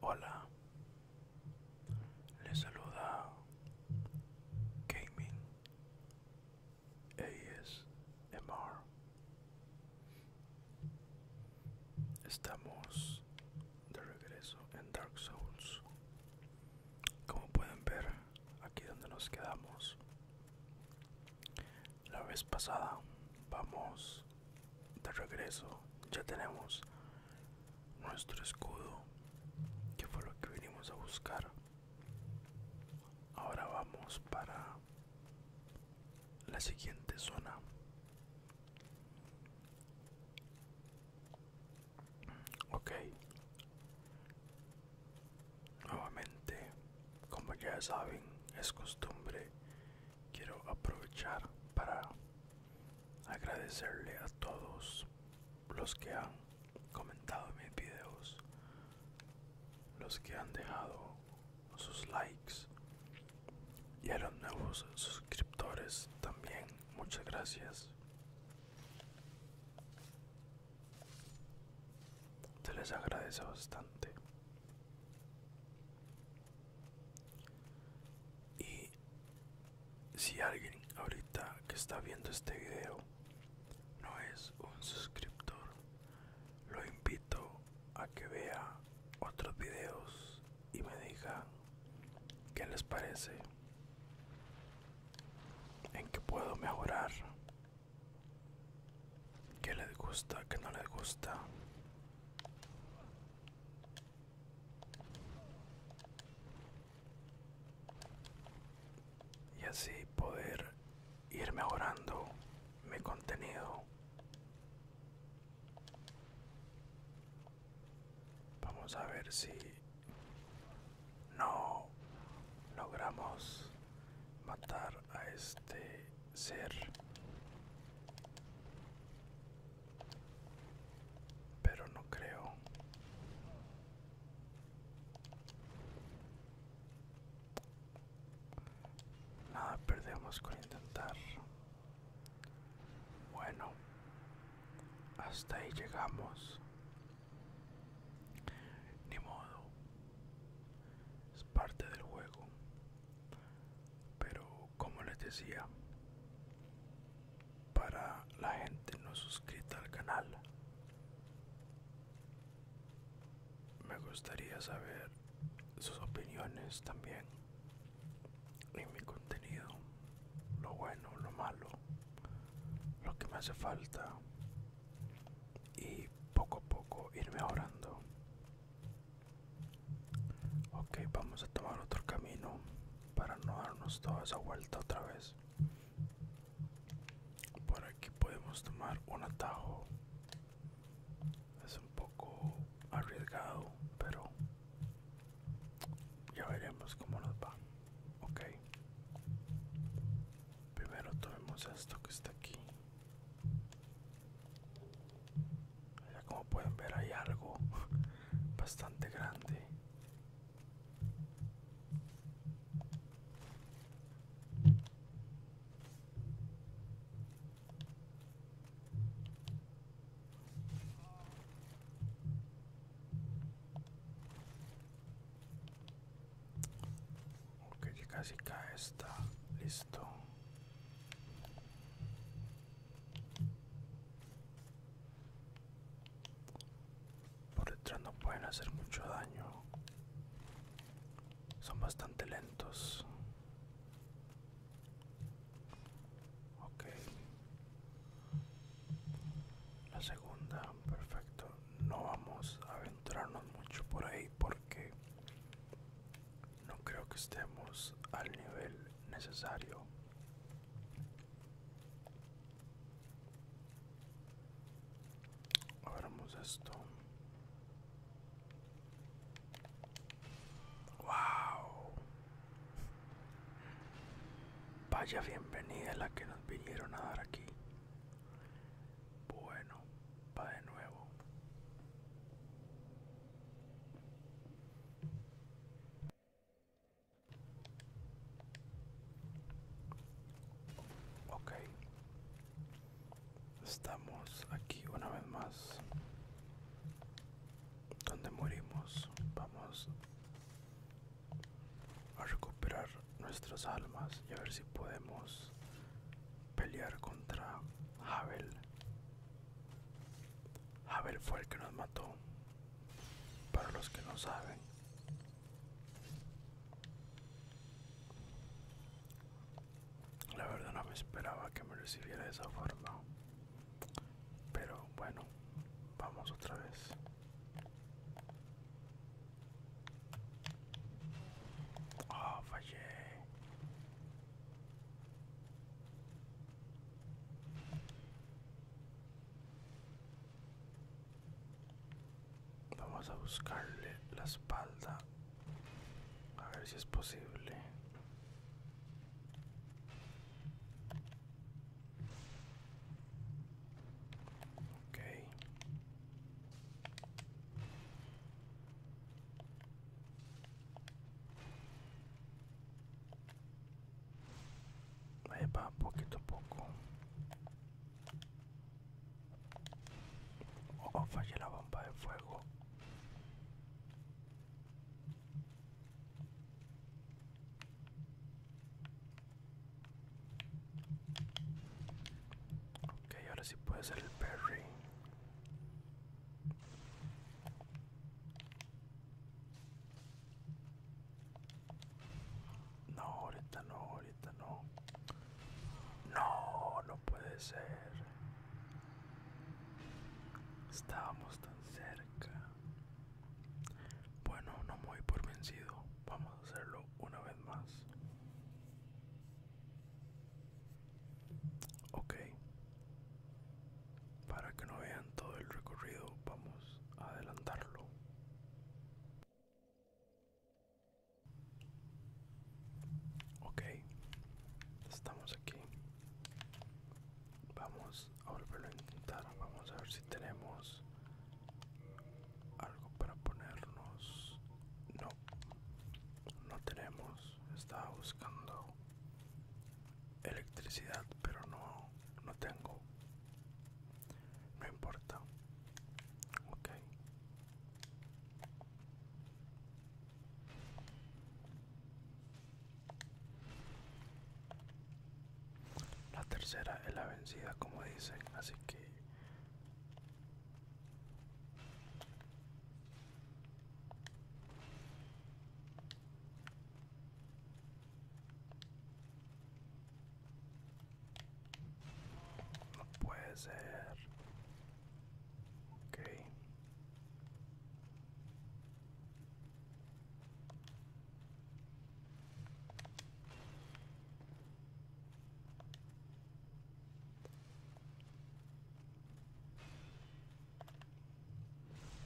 Hola, les saluda Gaming ASMR. Estamos de regreso en Dark Souls. Como pueden ver, aquí donde nos quedamos, la vez pasada vamos de regreso ya tenemos nuestro escudo que fue lo que vinimos a buscar ahora vamos para la siguiente zona ok nuevamente como ya saben es costumbre quiero aprovechar para agradecerle a todos los que han comentado mis videos, los que han dejado sus likes y a los nuevos suscriptores también. Muchas gracias. Se les agradece bastante. Y si alguien ahorita que está viendo este video no es un suscriptor, lo invito a que vea otros videos y me diga qué les parece, en qué puedo mejorar que les gusta, que no les gusta. Y así poder ir mejorando mi contenido. Vamos a ver si no logramos matar a este ser. Pero no creo. Nada perdemos con intentar. Bueno, hasta ahí llegamos. Ni modo es parte del juego pero como les decía para la gente no suscrita al canal me gustaría saber sus opiniones también en mi contenido lo bueno lo malo lo que me hace falta y poco a poco ir mejorando ok vamos a tomar otro camino para no darnos toda esa vuelta otra vez por aquí podemos tomar un atajo es un poco arriesgado pero ya veremos cómo nos va ok Primero tomemos esto que está aquí. como pueden ver hay algo bastante grande. Ok, casi cae está listo. Por detrás no pueden hacer mucho daño. Son bastante lentos. Ok. La segunda, perfecto. No vamos a venir encontrarnos mucho por ahí porque no creo que estemos al nivel necesario abramos esto wow vaya bienvenida la que nos vinieron a dar aquí bueno, va de nuevo. Ok. Estamos aquí una vez más. Donde morimos. Vamos a recuperar nuestras almas y a ver si podemos pelear contra Abel Havel fue el que nos mató, para los que no saben. La verdad no me esperaba que me recibiera de esa forma. Pero bueno, vamos otra vez. Oh, Vamos a buscarle la espalda. A ver si es posible. Ok. Ahí poquito a poco. Oh, oh a la bomba de fuego. Ok, ahora sí puede ser el Perry. No, ahorita no, ahorita no. No, no puede ser. Estábamos tan cerca. Bueno, no me voy por vencido. Vamos a hacerlo una vez más. Ok. Para que no vean todo el recorrido, vamos a adelantarlo. Ok, estamos aquí. Vamos a volverlo a intentar. Vamos a ver si tenemos algo para ponernos. No, no tenemos. Estaba buscando electricidad, pero no, no tengo. No importa. Ok. La tercera es la vencida, como dicen, así que no puede ser.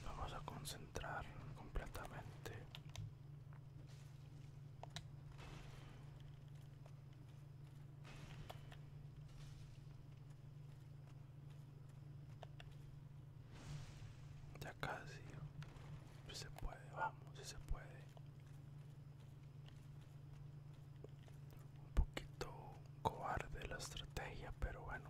Vamos a concentrar completamente ya casi. se puede, vamos, se puede. Un poquito cobarde la estrategia, pero bueno.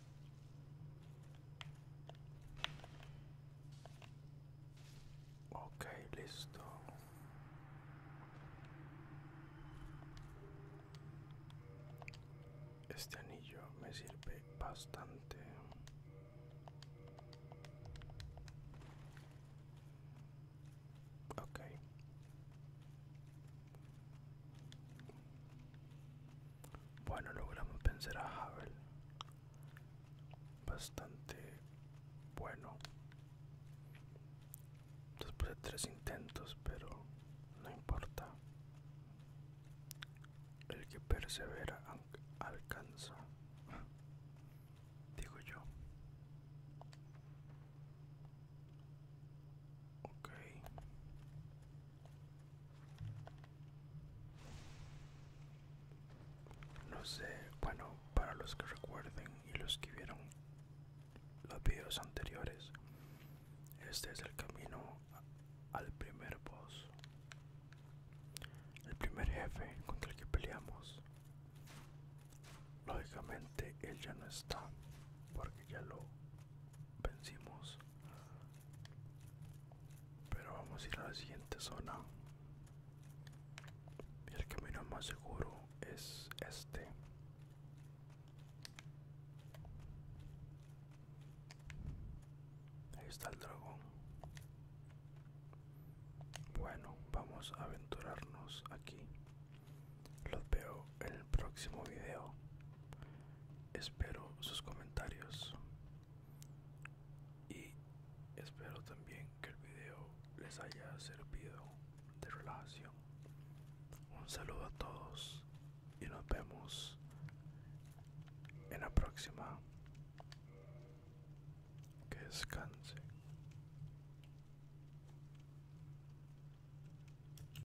Ok, listo. Este anillo me sirve bastante. Ok. Bueno, logramos vencer a Havel. Bastante bueno. Después de tres intentos, pero no importa. El que persevera alcanza, digo yo. Ok. No sé, bueno, para los que recuerden y los que vieron los videos anteriores, este es el camino al primer boss, el primer jefe contra el que peleamos. Lógicamente él ya no está porque ya lo vencimos pero vamos a ir a la siguiente zona y el camino más seguro es este ahí está el dragón bueno vamos a aventurarnos aquí los veo en el próximo video espero sus comentarios y espero también que el video les haya servido de relajación un saludo a todos y nos vemos en la próxima que descanse